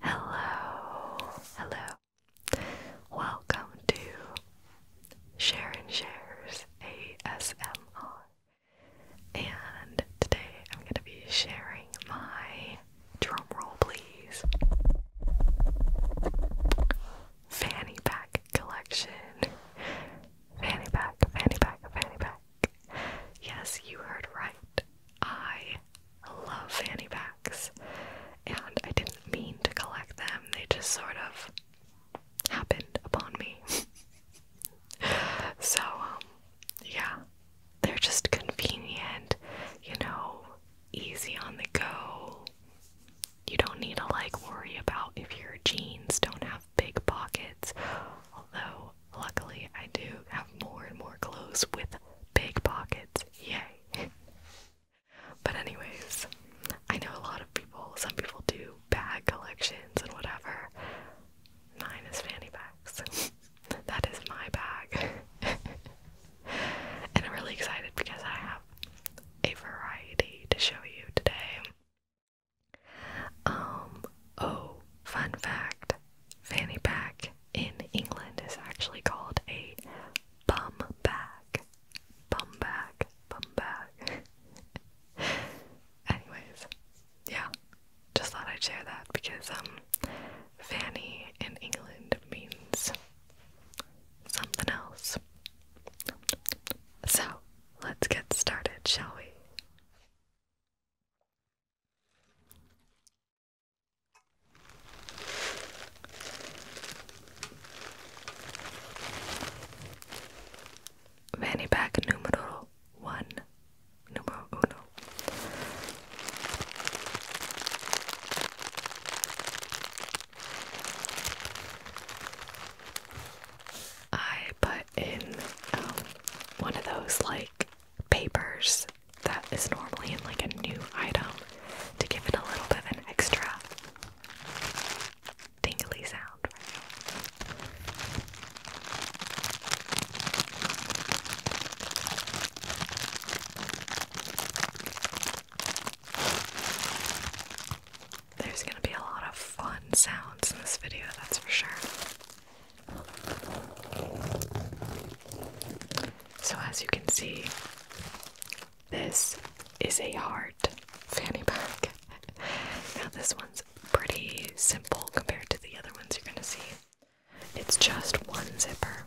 Hello, hello. Welcome to Sharon Shares ASMR. And today I'm going to be sharing my drum roll, please. Fanny pack collection. Fanny pack, fanny pack, fanny pack. Yes, you heard right. I love fanny packs. And I didn't mean to collect them, they just sort of happened upon me. so, um, yeah. They're just convenient, you know, easy on the go. You don't need to like worry about if your jeans don't have big pockets, although luckily I do have more and more clothes with big pockets. Yay! but, anyways, I know a lot of people, some people do bag collections and whatever. Mine is fanny bags. that is my bag. and I'm really excited because I have a variety to show you today. Um, oh, fun fact fanny pack in England is actually called a bum bag. Bum bag, bum bag. Anyways, yeah, just thought I'd share that because, um, fanny in England means something else. So, let's get started, shall we? Fanny pack number one, numero uno. I put in um, one of those like papers that is normally in like a new item to give it a little bit of an extra tingly sound. There's gonna be a lot of fun sounds in this video, that's for sure. So, as you can see, this is a heart fanny pack. now, this one's pretty simple compared to the other ones you're gonna see. It's just one zipper.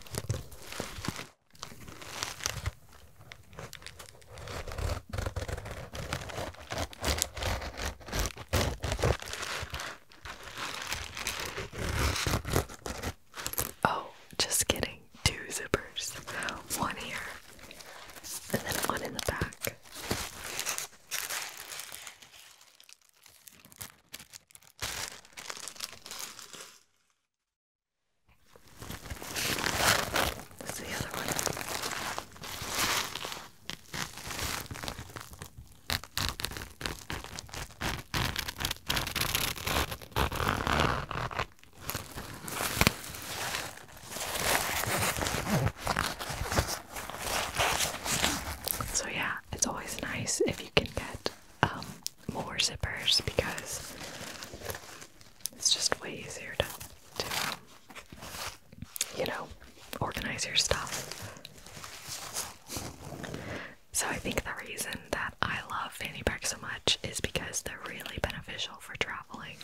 Oh, just kidding. Two zippers. One here, and then one in the back. That's the other one. So, yeah, it's always nice if you can get um, more zippers because it's just way easier to, to um, you know, organize your stuff. So I think the reason that I love fanny packs so much is because they're really beneficial for traveling.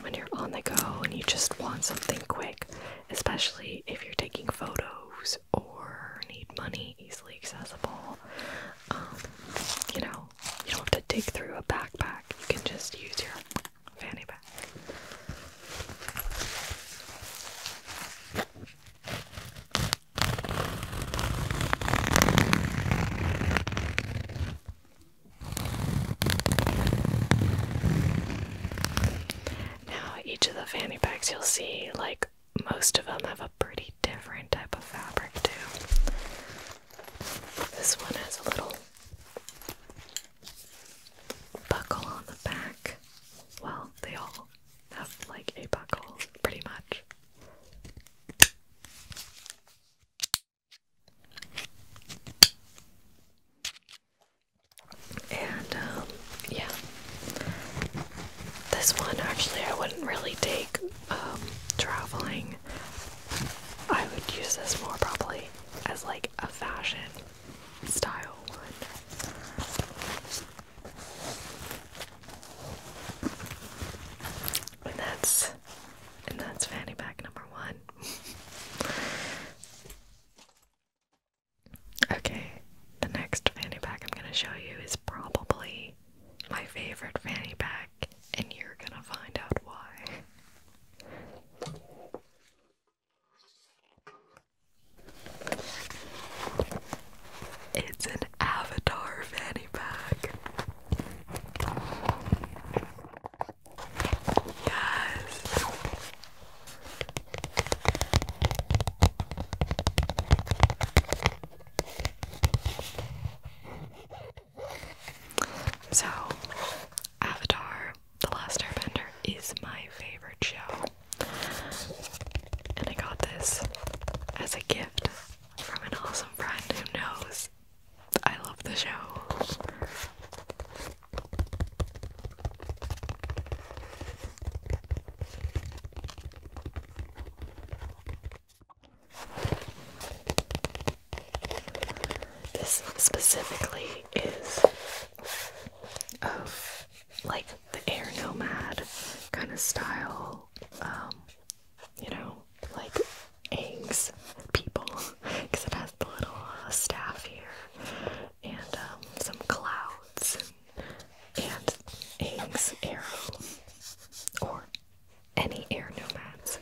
When you're on the go and you just want something quick, especially if you're taking photos or need money easily accessible, um, you know, you don't have to dig through a backpack. You can just use your fanny pack. Now, each of the fanny packs you'll see, like most of them, have a pretty different type of fabric, too. This one has a little buckle on the back. Well, they all have like a buckle, pretty much. And um, yeah, this one actually I wouldn't really take um, traveling. I would use this more probably as like a fashion style one. And that's and that's fanny pack number one. okay, the next fanny pack I'm gonna show you is probably my favorite fanny bag and you're gonna find out why. It's an avatar fanny pack. Yes. So, Avatar The Last Airbender is my favorite show. And I got this as a gift from an awesome friend who knows I love the show. This specifically is of like the air nomad kind of style, um, you know, like eggs people, because it has the little uh, staff here and um, some clouds and, and eggs arrow or any air nomads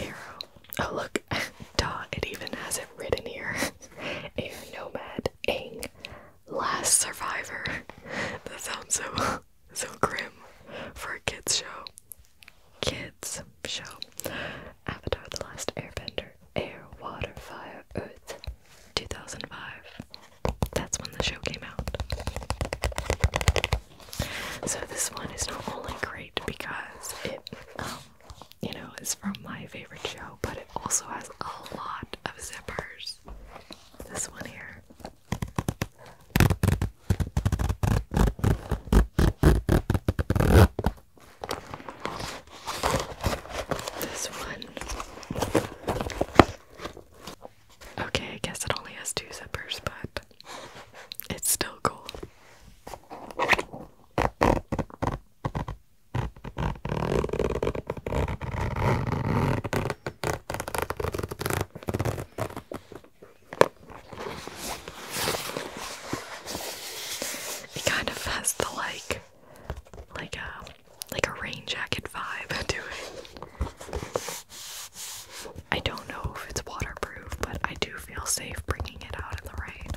arrow. Oh look, back. Duh, it even has it written here. Air nomad, Aang, last survivor. That sounds so so grim for a kids show. Kids show. Avatar: The Last Airbender. Air, Water, Fire, Earth. 2005. That's when the show came out. So this one is not only great because it, um, you know, is from my favorite show, but it also has a lot of zippers. This one here. This one. Okay, I guess it only has two zippers, but it's still cold. It kind of has the like like a uh, like a rain jacket vibe to I don't know if it's waterproof, but I do feel safe bringing it out in the rain.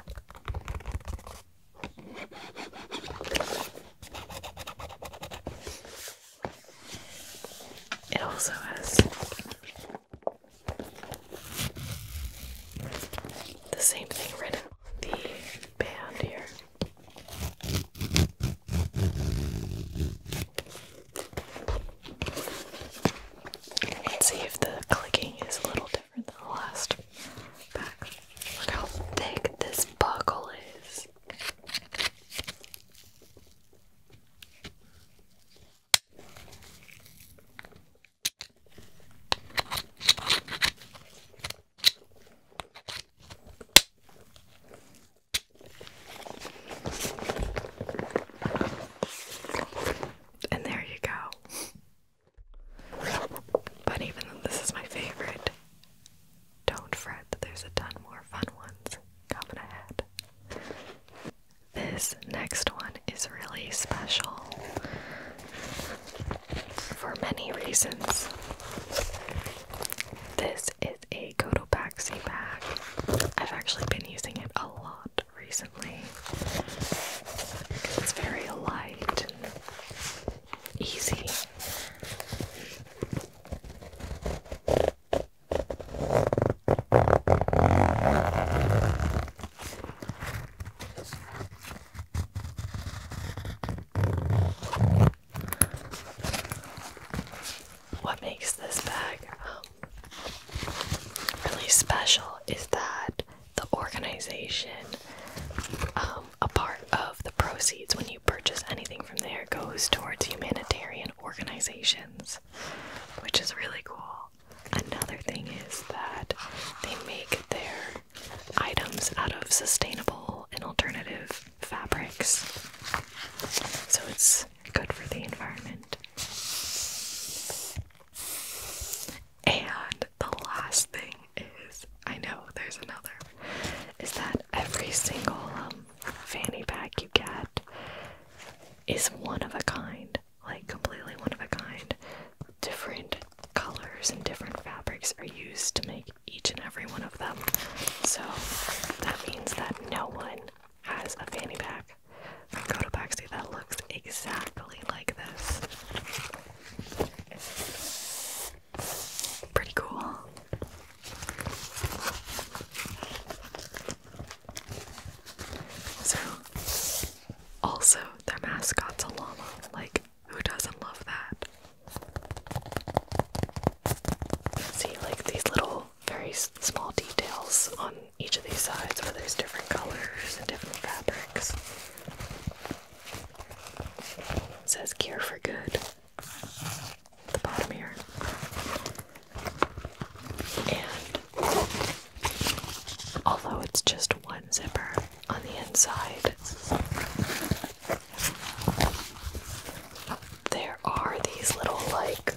It also has the same thing written on the band here. Let's see if the clicking is a little different than the last Look how thick this buckle is. And there you go. But even though this is my favorite, don't fret there's a ton more fun ones coming ahead. This next one is really special for many reasons. This is a Cotopaxi bag. I've actually been using it a lot recently. It's very light easy. What makes this bag? really special is that the organization, um, a part of the proceeds when you purchase anything from there, goes towards humanitarian organizations, which is really cool. Another thing is that they make their items out of sustainable and alternative fabrics. So it's good for the environment. And the last thing is I know there's another is that every single um, fanny pack you get is one of a kind, like completely one of a kind. Different colors and different fabrics are used to make each and every one of them. So that means that no one has a fanny pack back from Cotopaxi that looks exactly like this. Pretty cool. So, also, their mascot's a llama. Like, who doesn't love that? See, like, these little, very small details on each of these sides where there's different colors and different fabrics. says "Care for Good at the bottom here. And although it's just one zipper on the inside, there are these little like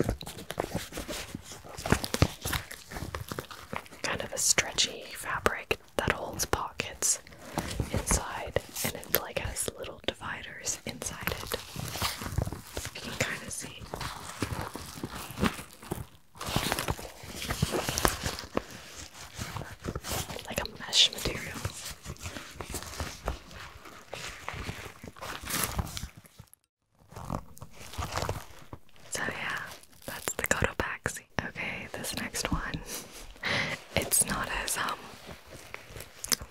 kind of a stretchy fabric that holds pockets inside and it like has little dividers inside it. You can kind of see. Like a mesh material. So yeah, that's the Cotopaxi. Okay, this next one. It's not as um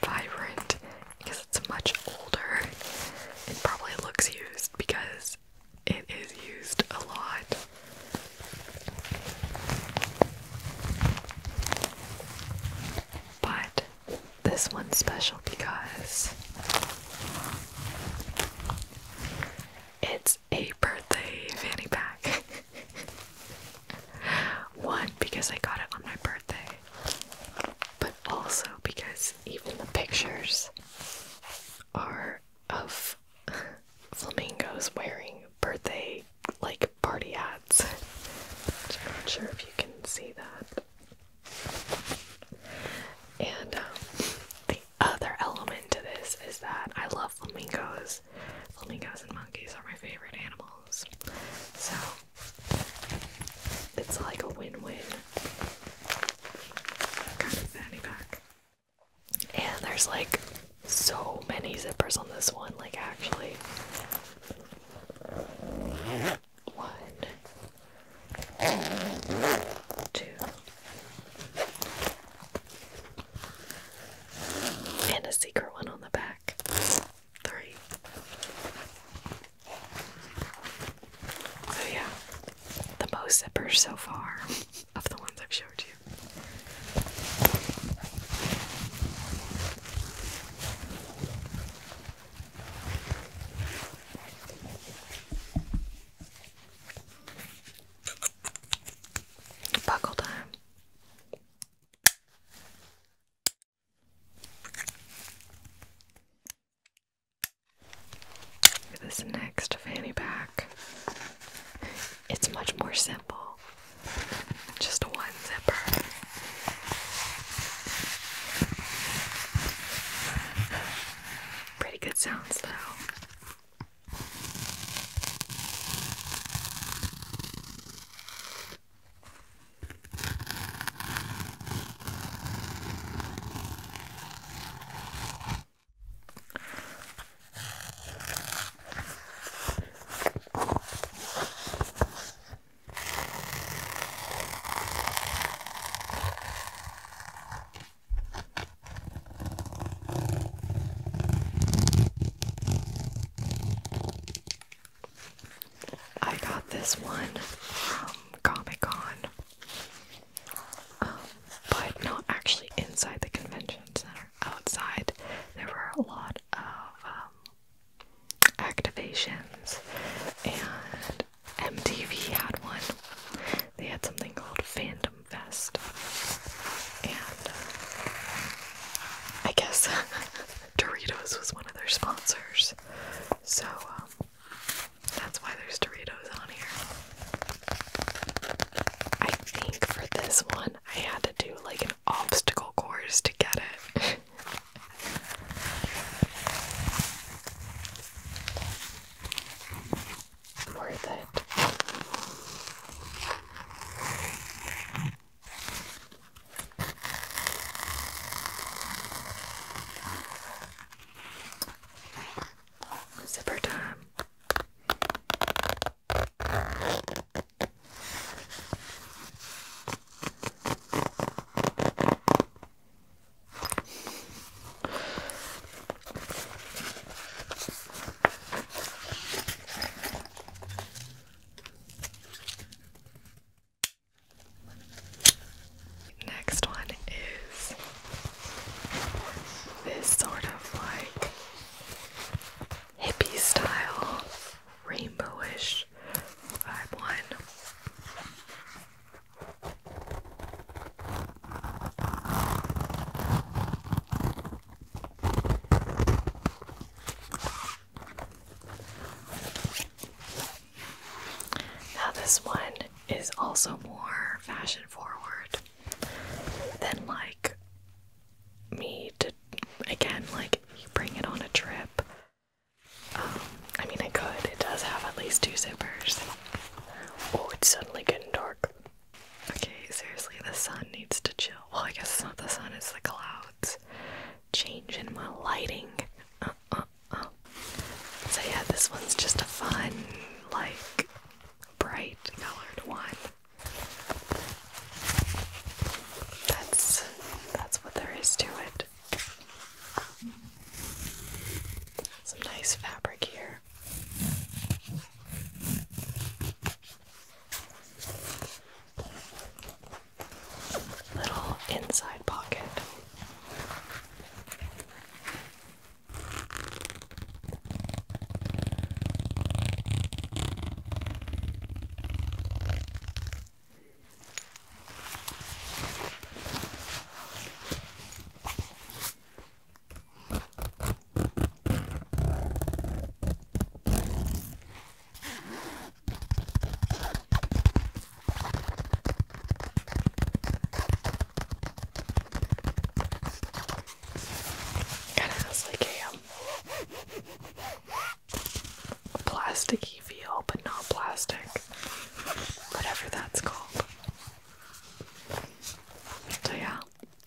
vibrant because it's much older. It probably looks used because it is used a lot. But this one's special because it's a birthday fanny pack. One, because I got it on my birthday, but also because even the pictures are of flamingos wearing birthday like party hats. I'm not sure if you can see that. And um, other element to this is that I love flamingos. Flamingos and monkeys are my favorite animals. So it's like a win-win kind of fanny pack. And there's like so many zippers on this one, like actually. One, two, and a secret one on the back, three. So, oh, yeah, the most zippers so far of the ones I've showed you. Buckle time. this next fanny pack, it's much more simple. Just one zipper. Pretty good sounds, though. I got this one from Comic Con, um, but not actually inside the convention center. Outside, there were a lot of um, activations and MTV had one. They had something called Phantom Fest. And uh, I guess Doritos was one of their sponsors. So um, that's why there's Doritos on here. I think for this one, I had to do like an obstacle course to get it. worth it. Zipper time. Next one is this sort of like hippie style, rainbowish vibe one. Now, this one is also more fashion forward than like me to again, like bring it on a trip. Um, I mean, I could, it does have at least two zippers. Oh, it's suddenly getting dark. Okay, seriously, the sun needs to chill. Well, I guess it's not the sun, it's the clouds. Change in my lighting. Uh, uh, uh. So, yeah, this one's just a fun, like, bright colored one. That's that's what there is to it. Some nice fabric here here. Little inside pocket. Kind of like a, um, feel, but not plastic. Whatever that's called. So, yeah,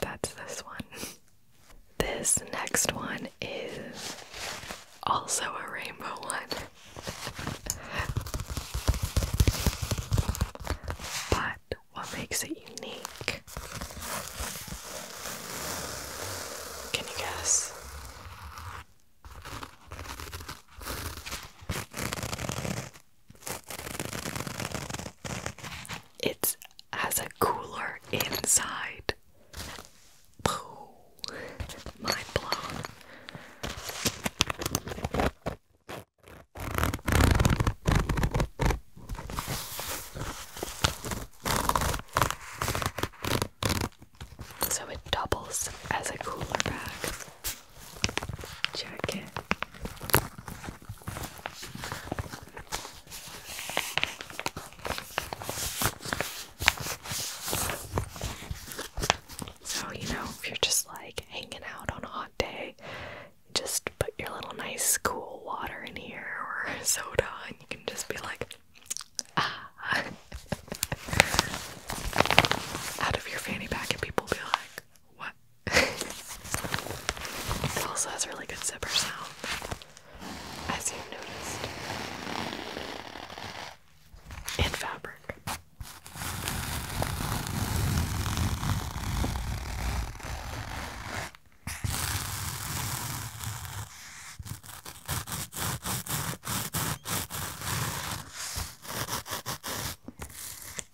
that's this one. This next one is also a rainbow one. but what makes it unique? Can you guess? It has a cooler inside. mind blown. So it doubles as a cooler bag jacket. So, you know, if you're just like hanging out on a hot day, just put your little nice cool water in here or soda, and you can just be like, ah. out of your fanny pack, and people be like, what? it also has really good zipper sound, as you've noticed. And fabric.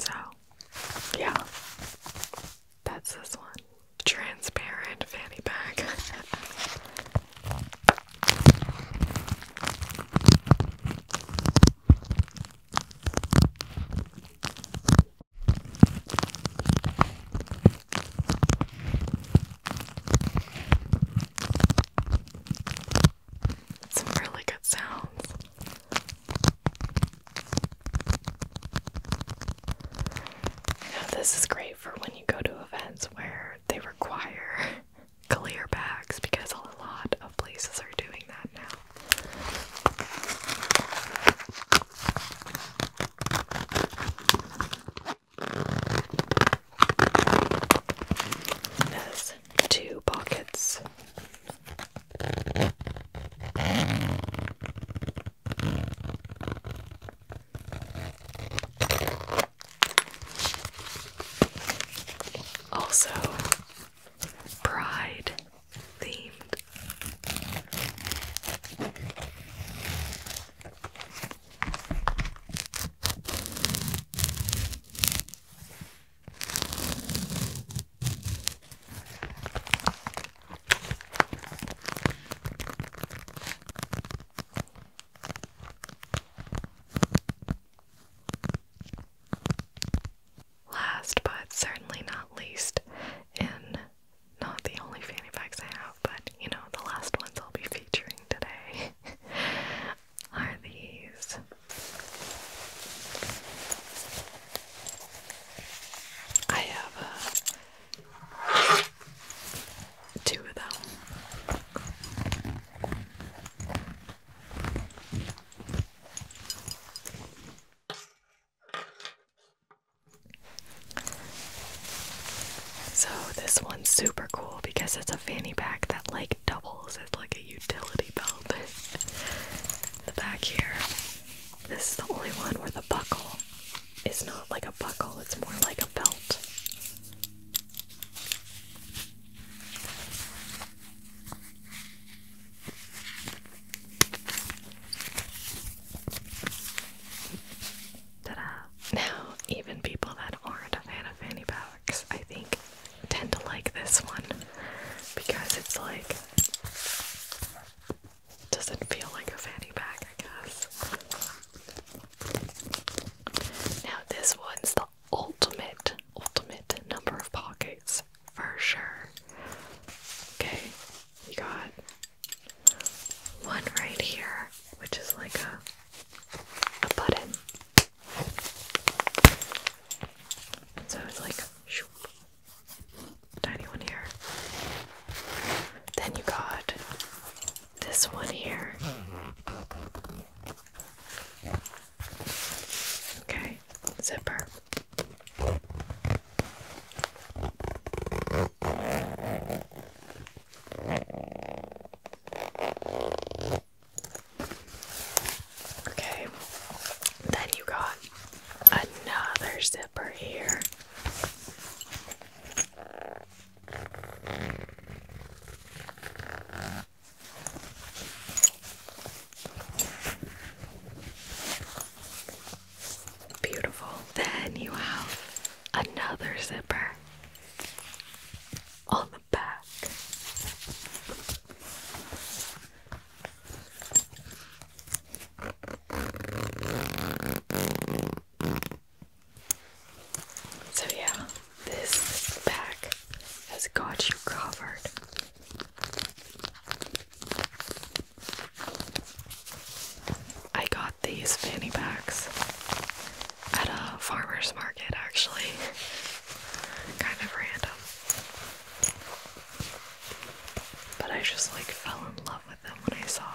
So, yeah, that's this one transparent fanny bag. Some really good sounds. this is great for when you go to events where they require clear bags because a lot of places are doing that now has two pockets. Also, pride themed last but certainly not least in not the only fanny packs I have, but you know, the last ones I'll be featuring today are these. I have uh, two of them. So this one's super cool because it's a fanny pack that like doubles as like a utility belt. the back here, this is the only one where the buckle is not like a buckle, it's more like a belt. Now, even people that aren't a fanny packs, I think, tend to like this one because it's like doesn't feel like a fanny pack, I guess. Now, this one's the ultimate ultimate number of pockets for sure. Okay, you got one right here, which is like a button. So it's like tiny one here. Then you got this one here. Okay, zipper. Okay, then you got another zipper here. Beautiful. Then you have another zipper on the back. So, yeah, this back has got you covered. I got these fanny packs at a farmer's market actually. kind of random. But I just like fell in love with them when I saw them.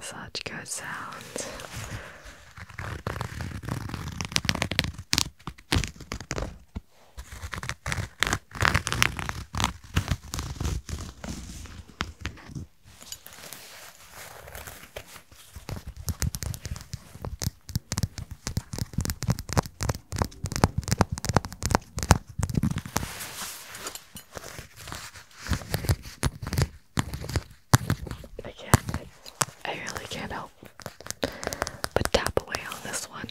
Such good sounds. I can't. I really can't help but tap away on this one.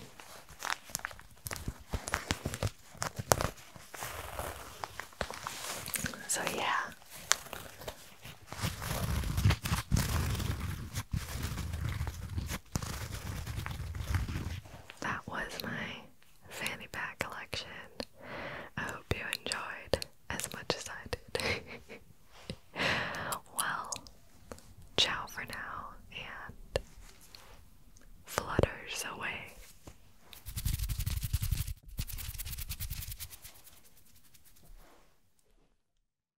So yeah, that was my fanny pack collection. I hope you enjoyed as much as I did. well, ciao for now and flutters away.